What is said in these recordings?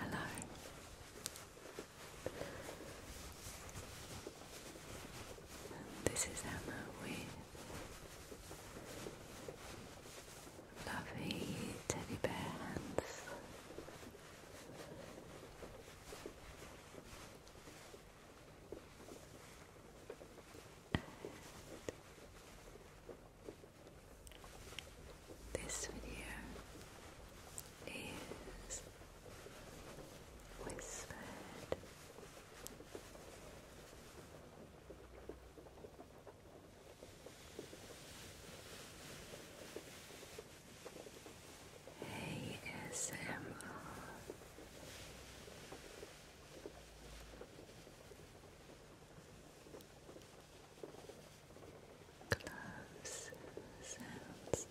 Hello. This is Emma with lovely teddy bear hands this video is whispered. ASMR Close sounds.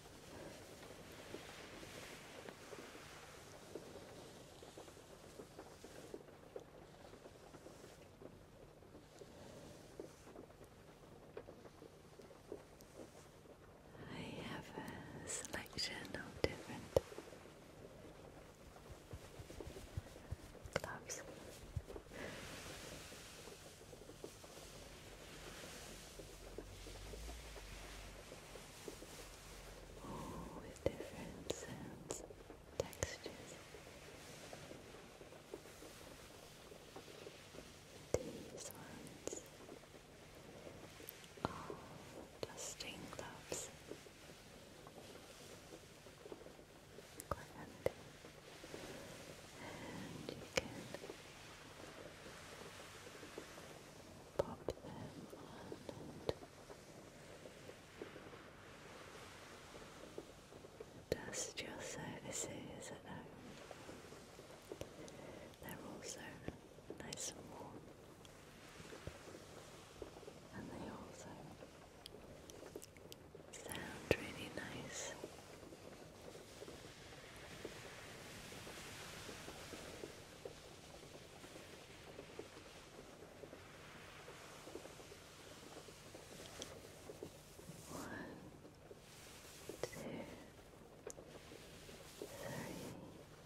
I have a selection of different Gloves. Oh, with different sounds, textures. These ones are oh, dusting gloves. Quiet. And you can pop them on dust your surfaces at They're also nice and warm. And they also sound really nice. One, two, three,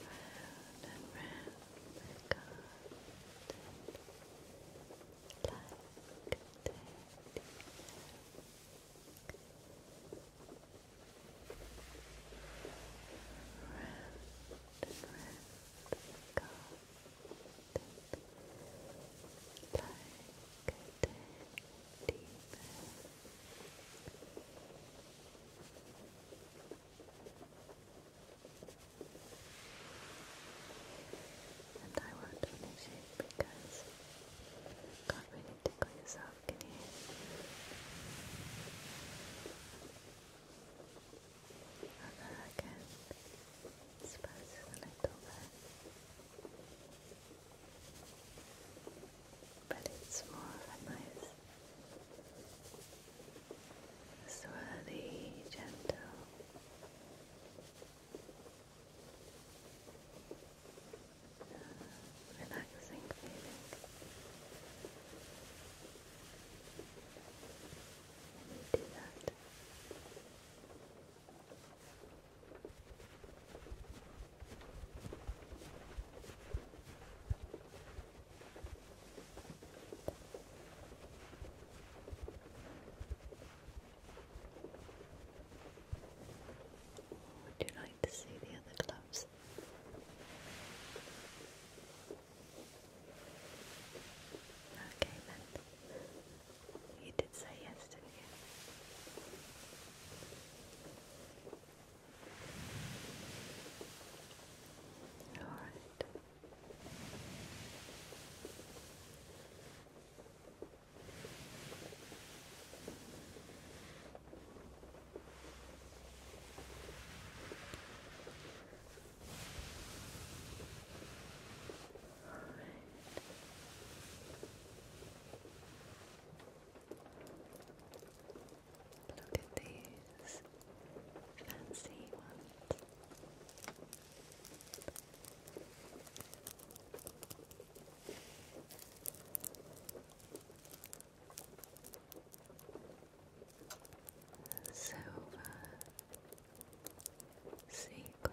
Round and round the garden like the Round and round the garden like and I want to finish it because you can't really tickle yourself, can you? Although I can suppose but it's more of a nice, swirly, gentle. Uh, relaxing feeling. you do that, would you like to see the other gloves? Okay you did say yes, didn't you? All right. Look at these fancy ones. Silver sequin.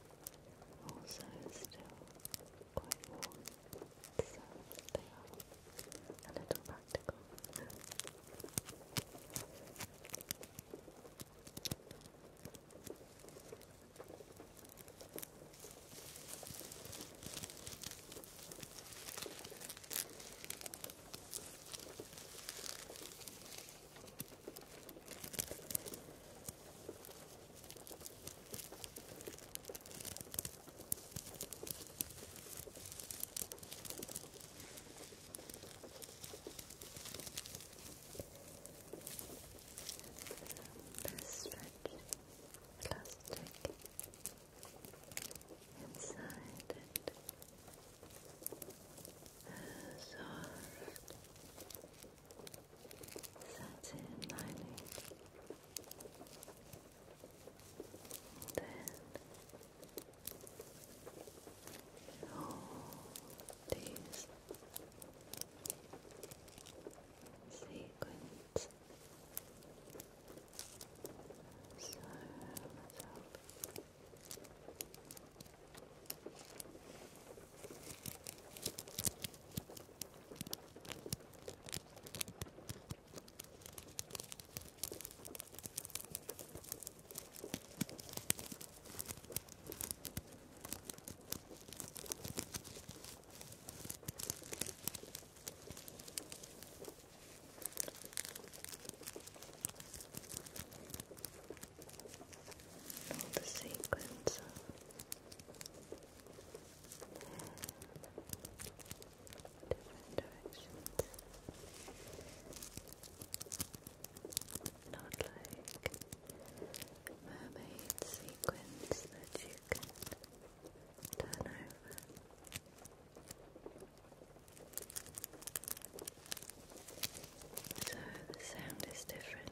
also still quite warm, so they are a little practical. This stretch plastic inside it soft that's it, lining. Then all these sequins so myself all the sequence of different directions. Not like mermaid sequins that you can turn over. So the sound is different.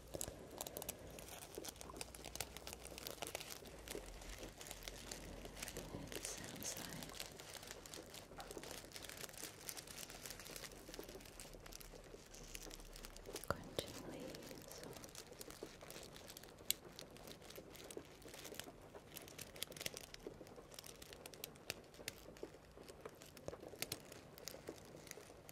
It sounds like crunching leaves or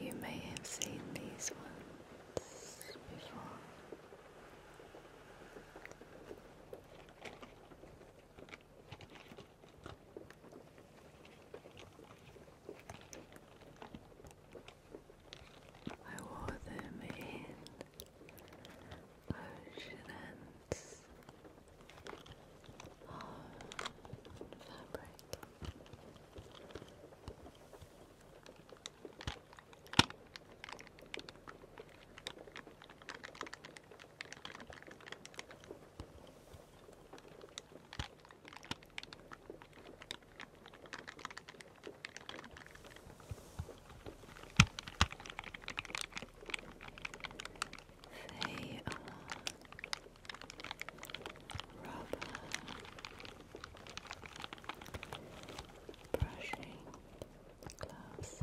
You may have seen these ones before. I wore them in ocean ends fabric. They are rubber brushing glass.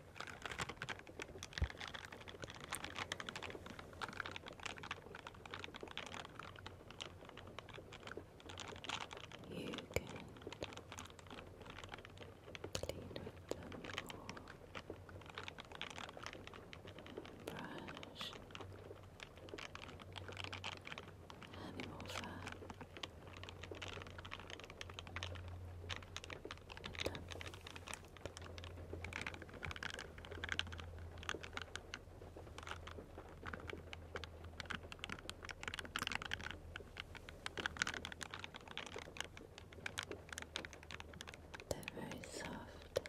You can clean with them brush animal fat. They're very soft.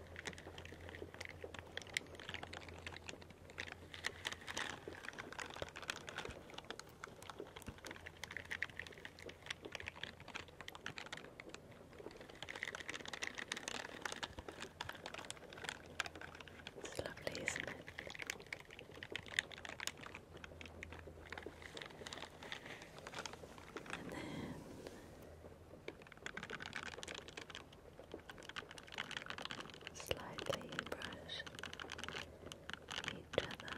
It's lovely, isn't it? And then slightly brush each other. Now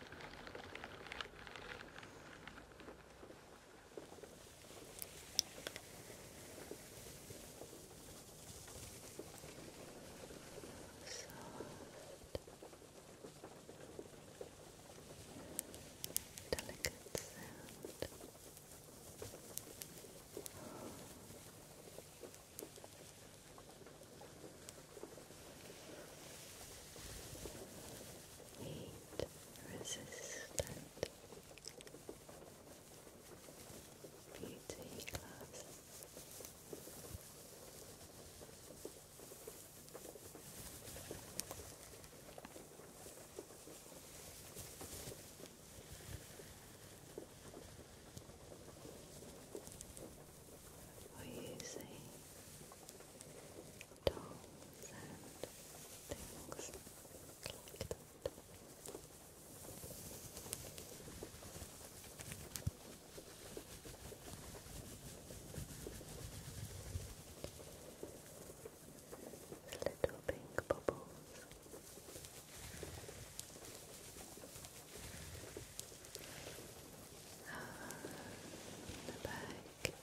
Delicate sound. Oh heat resistant beauty glass or using tools and things like Little pink bubbles the back and the front. Good.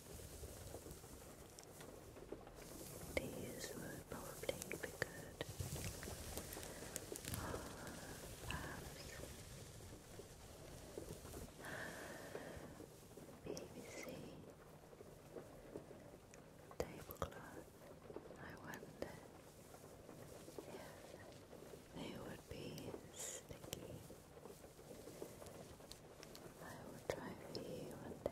These would probably be good. Or uh, BBC tablecloth. I wonder if they would be sticky. I will try you one day.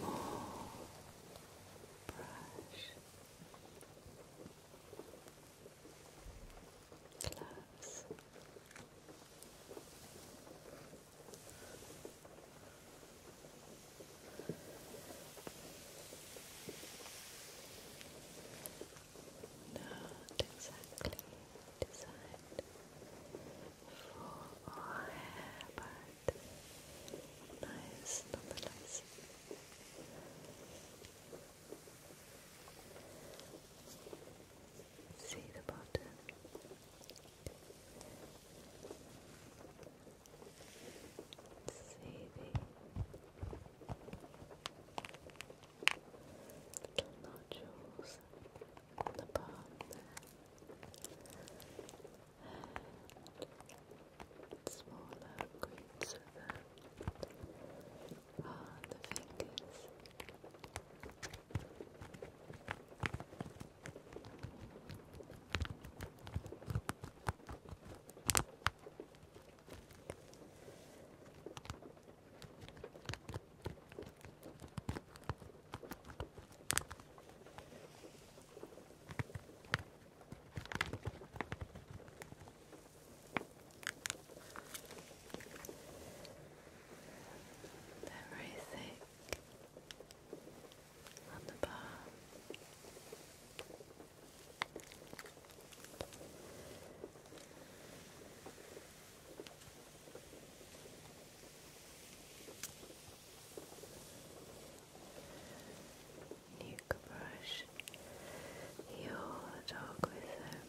more brush gloves not exactly designed for our hair, but but nice nonetheless. See the bottom. See the nodules on the palm there smaller grips of them on ah, the fingers. They're very thick on the bar. You brush your dog with them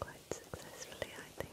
quite successfully, I think.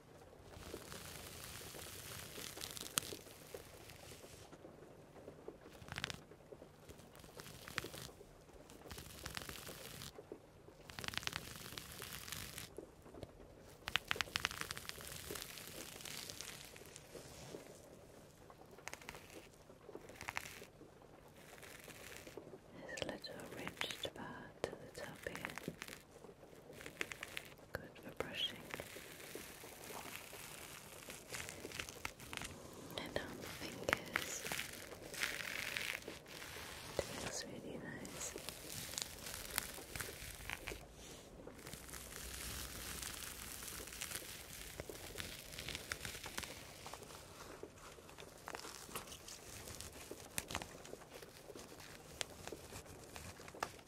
It's a little ridged bar to the top here. Good for brushing. And on um, fingers. It feels really nice.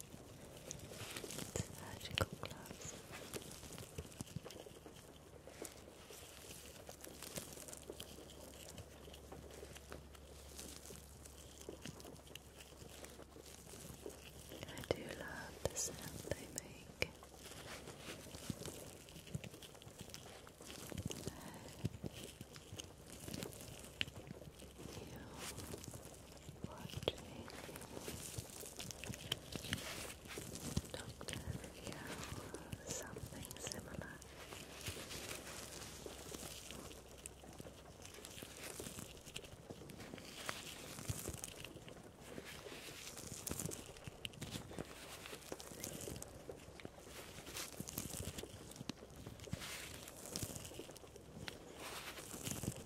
surgical I do love the sound they make. You watching Doctor Review something similar. Thank you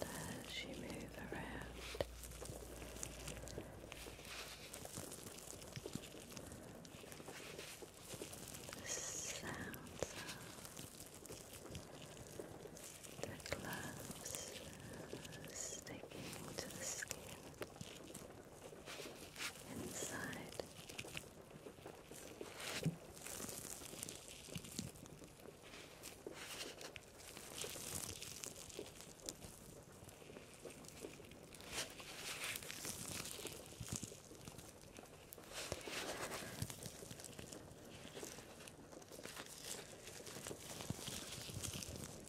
as you move around. The sounds of the gloves sticking to the skin inside.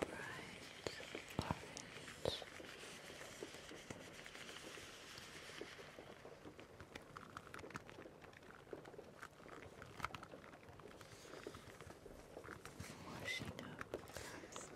Finally. Bright orange. Washing up past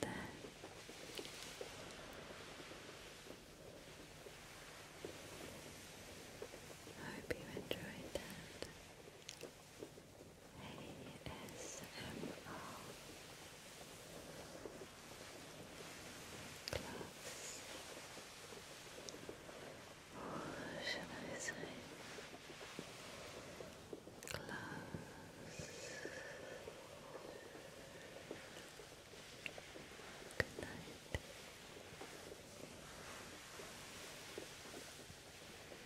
There. I hope you enjoyed that. ASMR class. Or should I say class? Good night.